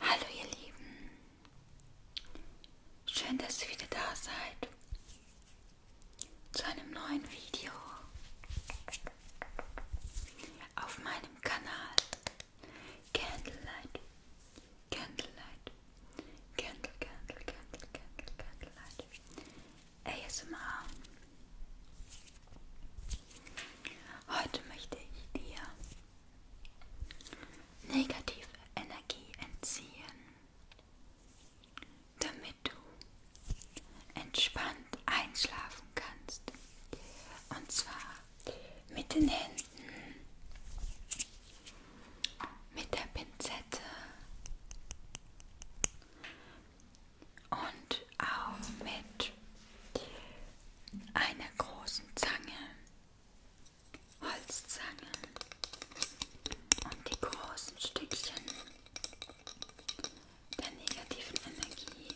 Hallo ihr Lieben, schön, dass ihr wieder da seid zu einem neuen Video auf meinem Kanal Candlelight, Candlelight, Candle, Candle, Candle, Candle, Candlelight, ASMR. Heute möchte ich dir negative Energie entziehen, damit du entspannt einschlafen kannst. Und zwar mit den Händen, mit der Pinzette, und auch mit einer großen Zange, Holzzange und die großen Stückchen der negativen Energie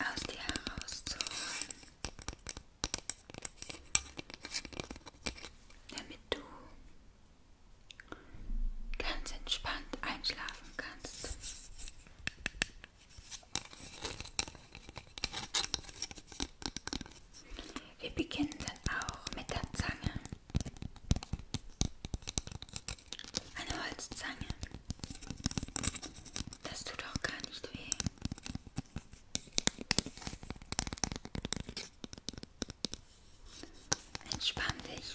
aus dir herauszuholen, damit du ganz entspannt einschlafen kannst. Wir beginnen dann auch mit der Zange. Eine Holzzange. Das tut doch gar nicht weh. Entspann dich.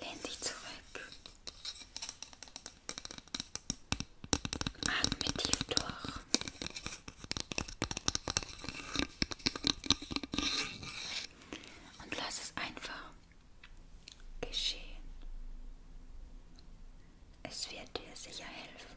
Lehn dich zurück. Atme tief durch. Und lass es einfach geschehen. Es wird dir sicher helfen.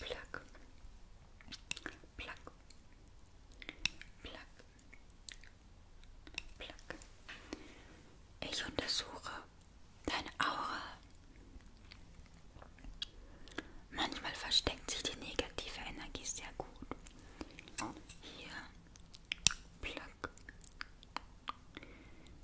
Plack, plack, plack, plack. Ich untersuche deine Aura. Manchmal versteckt sich die negative Energie sehr gut. Hier, plack,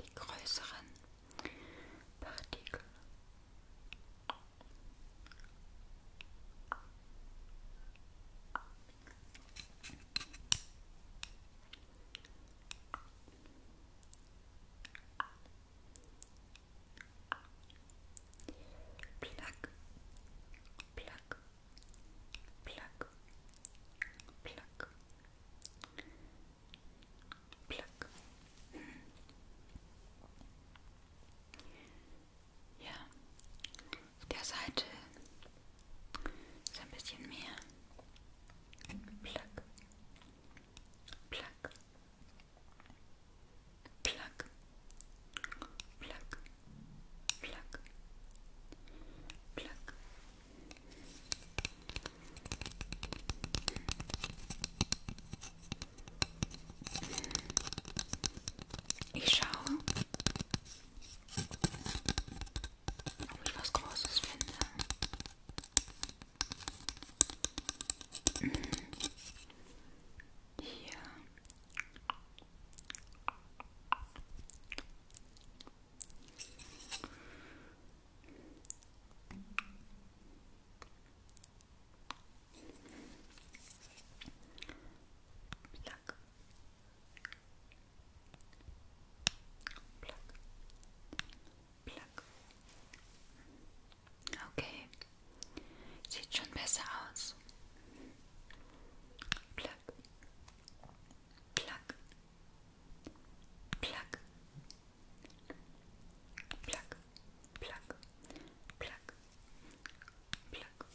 Die größeren Partikel. Plug, plug, Plack, plack, plack. Ja, auf der Seite ist ein bisschen mehr. Plack, plack, Plack, plack, plack, plack. Ich schaue, ob ich was Großes finde. here. Pluck. Pluck. Pluck. Okay. Sieht schon besser aus. Plack. Plack. Plack. Plack. Plack. Plack. Plack. Plack.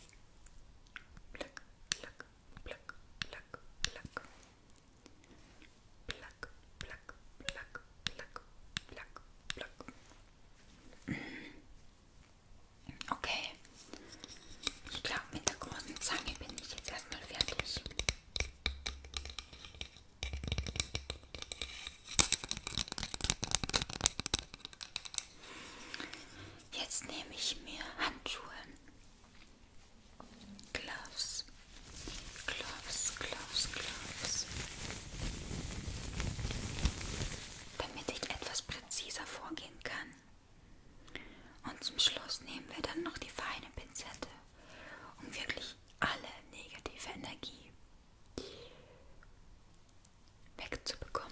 Plack. Plack. Plack. Plack. Plack, plack, plack, plack, plack, plack. Okay. Ich glaube, mit der großen Zange bin ich jetzt erstmal fertig. Jetzt nehme ich mir Handschuhe. Gloves. Gloves, Gloves, Gloves damit ich etwas präziser vorgehen kann. Und zum Schluss nehmen wir dann noch die feine Pinzette, um wirklich alle negative Energie wegzubekommen.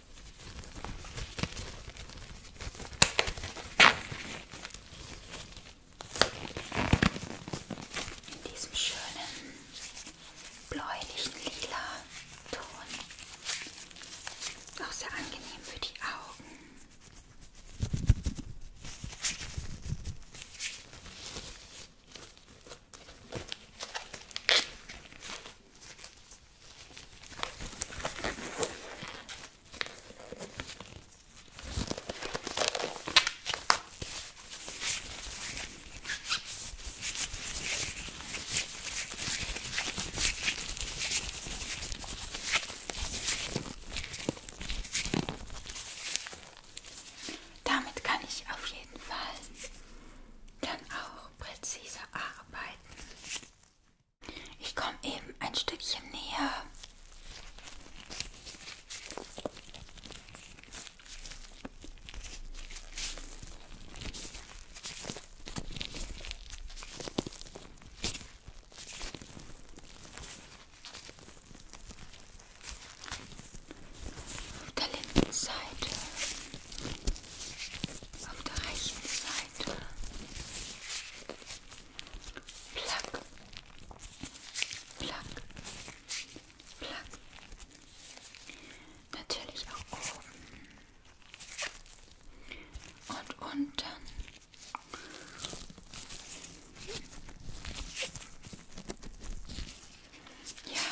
In diesem schönen bläulichen lila Ton. Auch sehr angenehm für die Augen. Damit kann ich auf jeden Fall dann auch präziser arbeiten. Ich komme eben ein Stückchen näher. Auf der linken Seite auf der rechten Seite. Plack, plack, plack. Natürlich auch oben und unten. Ja,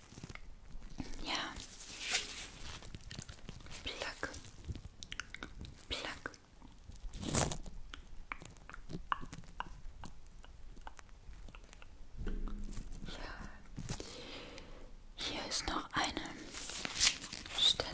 Ja. Plack. Plack. Ja. Hier ist noch eine Stelle.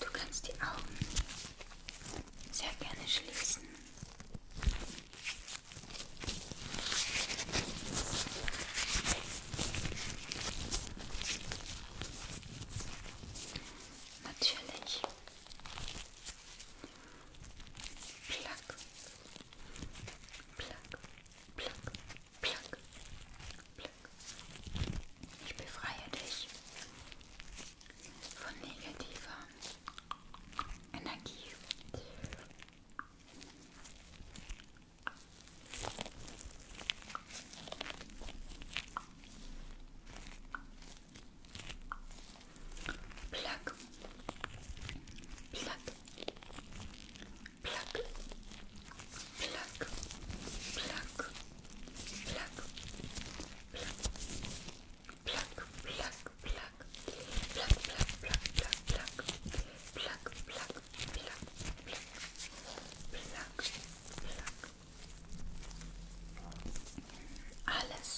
Du kannst die Augen sehr gerne schließen. Natürlich. Plack, Plack, plack, plack, plack. Ich befreie dich von negativer Energie. Plack, plack, Plack, plack, plack, plack, plack, plack, plack, plack, plack, plack, plack, plack, plack, plack, plack, plack, plack. Alles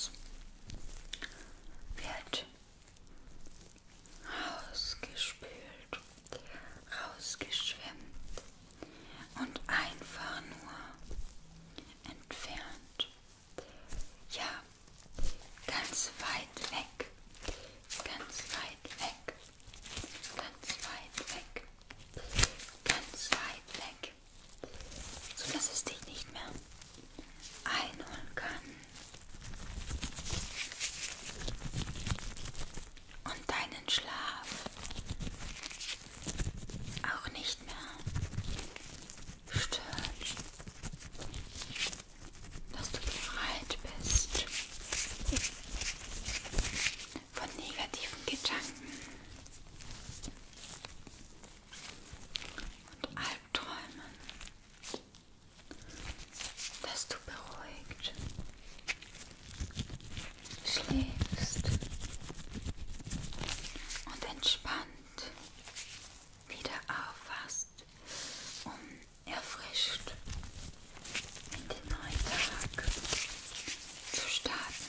wird rausgespült, rausgeschwemmt und einfach nur entfernt. Ja, ganz weit weg, ganz weit weg, ganz weit weg, ganz weit weg, so dass es dich nicht mehr einholen kann und deinen Schlaf auch nicht mehr stört, dass du befreit bist von negativen Gedanken und Albträumen dass du beruhigt schläfst und entspannt wieder aufwachst, um erfrischt in den neuen Tag zu starten.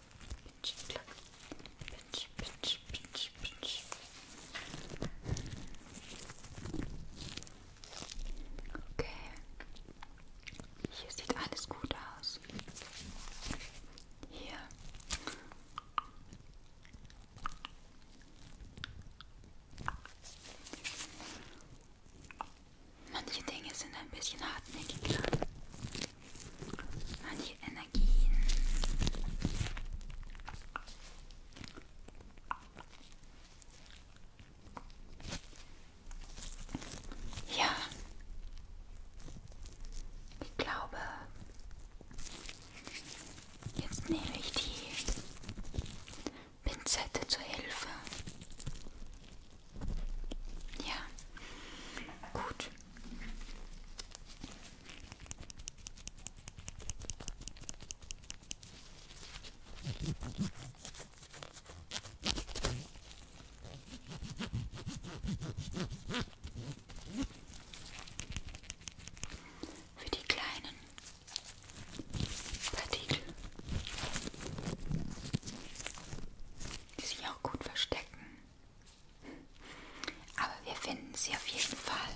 klack, pinch, klack, pinch, pinch, pinch, pinch. Okay. Hier sieht alles gut aus. Hier. Manche Dinge sind ein bisschen hartnäckiger mal die Energien. Ja, ich glaube, jetzt nehme ich die Pinzette zur Hilfe ja, gut. Für die kleinen Partikel, die sich auch gut verstecken. Aber wir finden sie auf jeden Fall.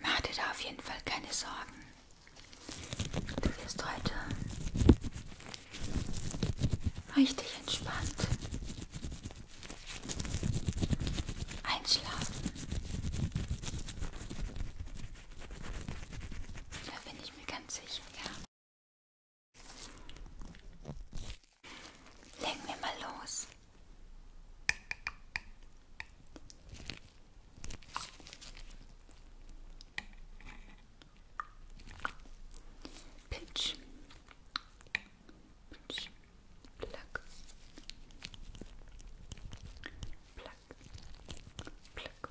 Mach dir da auf jeden Fall keine Sorgen. Du wirst heute richtig entspannt einschlafen. Da bin ich mir ganz sicher, ja. Legen wir mal los. Pitch. Pitch. Plack. Plack. Plack. Plack.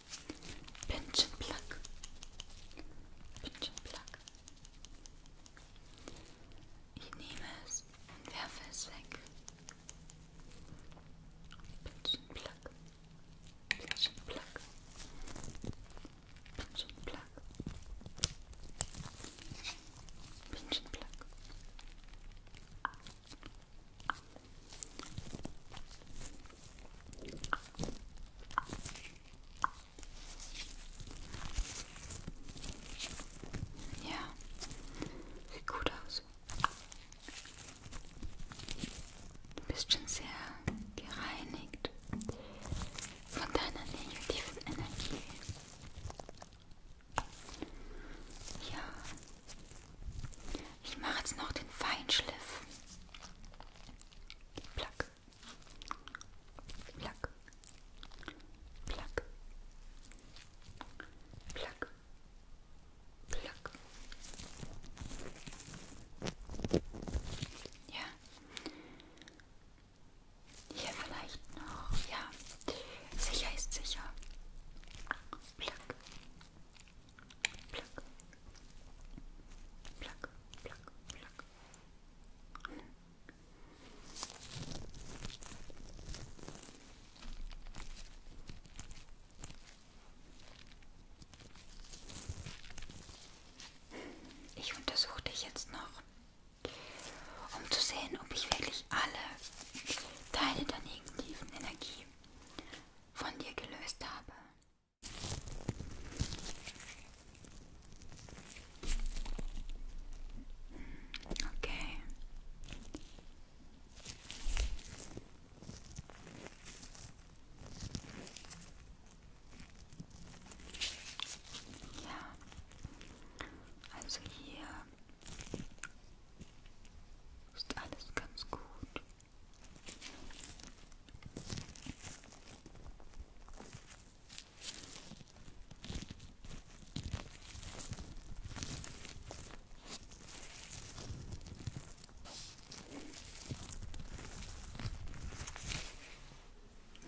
Pinch and pluck. Pinch and pluck. Ich nehme es und werfe es weg. Pinch and pluck. Pinch and pluck. Pinch and pluck. Pinch and pluck. Ja, sieht gut aus. Du bist schon sehr gereinigt von deiner negativen Energie. Ja, ich mache jetzt noch den Feinschliff. Plack. Plack. Plack. Plack. Plack. Ja. Hier vielleicht noch. Ja. Sicher ist sicher. Plack. Plack. Plack. Plack, plack, plack. Ich untersuche dich jetzt noch, um zu sehen, ob ich wirklich alle Teile der negativen Energie von dir gelöst habe. Okay. Ja, also hier ist alles ganz gut.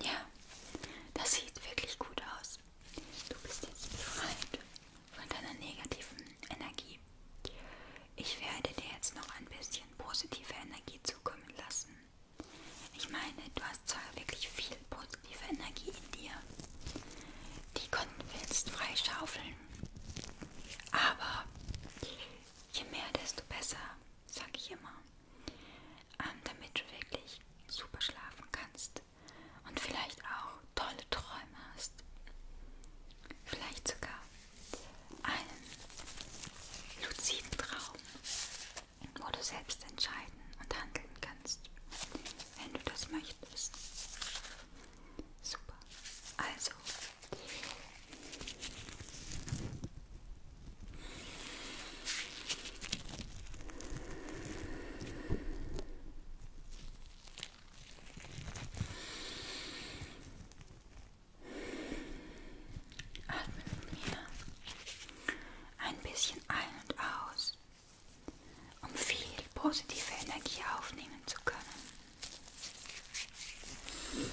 Ja, das sieht wirklich gut aus. Du bist jetzt befreit von deiner negativen Energie. Ich werde dir jetzt noch ein bisschen positive Energie zukommen lassen. Ich meine, du hast zwar wirklich viel positive Energie in dir, die konnten wir jetzt freischaufeln, aber je mehr, desto besser, sag ich immer, ähm, damit du wirklich super schlafen kannst und vielleicht auch tolle Träume hast. Vielleicht sogar einen luziden Traum, wo du selbst entscheiden und handeln kannst, wenn du das möchtest. Super. Also, Atme mit mir ein bisschen ein und aus, um viel positive Energie aufnehmen zu können. Atme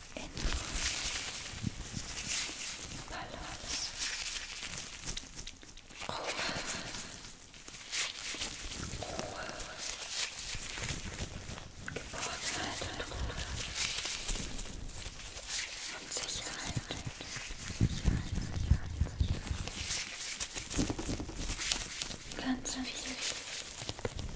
in Balance, Ruhe, Ruhe, Geborgenheit und Ruhe und Sicherheit. Ganz viel Entspannung.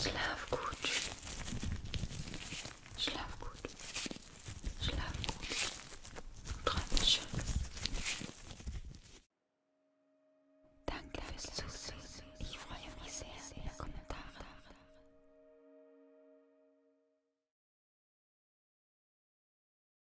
Schlaf gut. Schlaf gut. Schlaf gut. Träume schön. Danke fürs Zusehen. Ich freue mich sehr über Kommentare.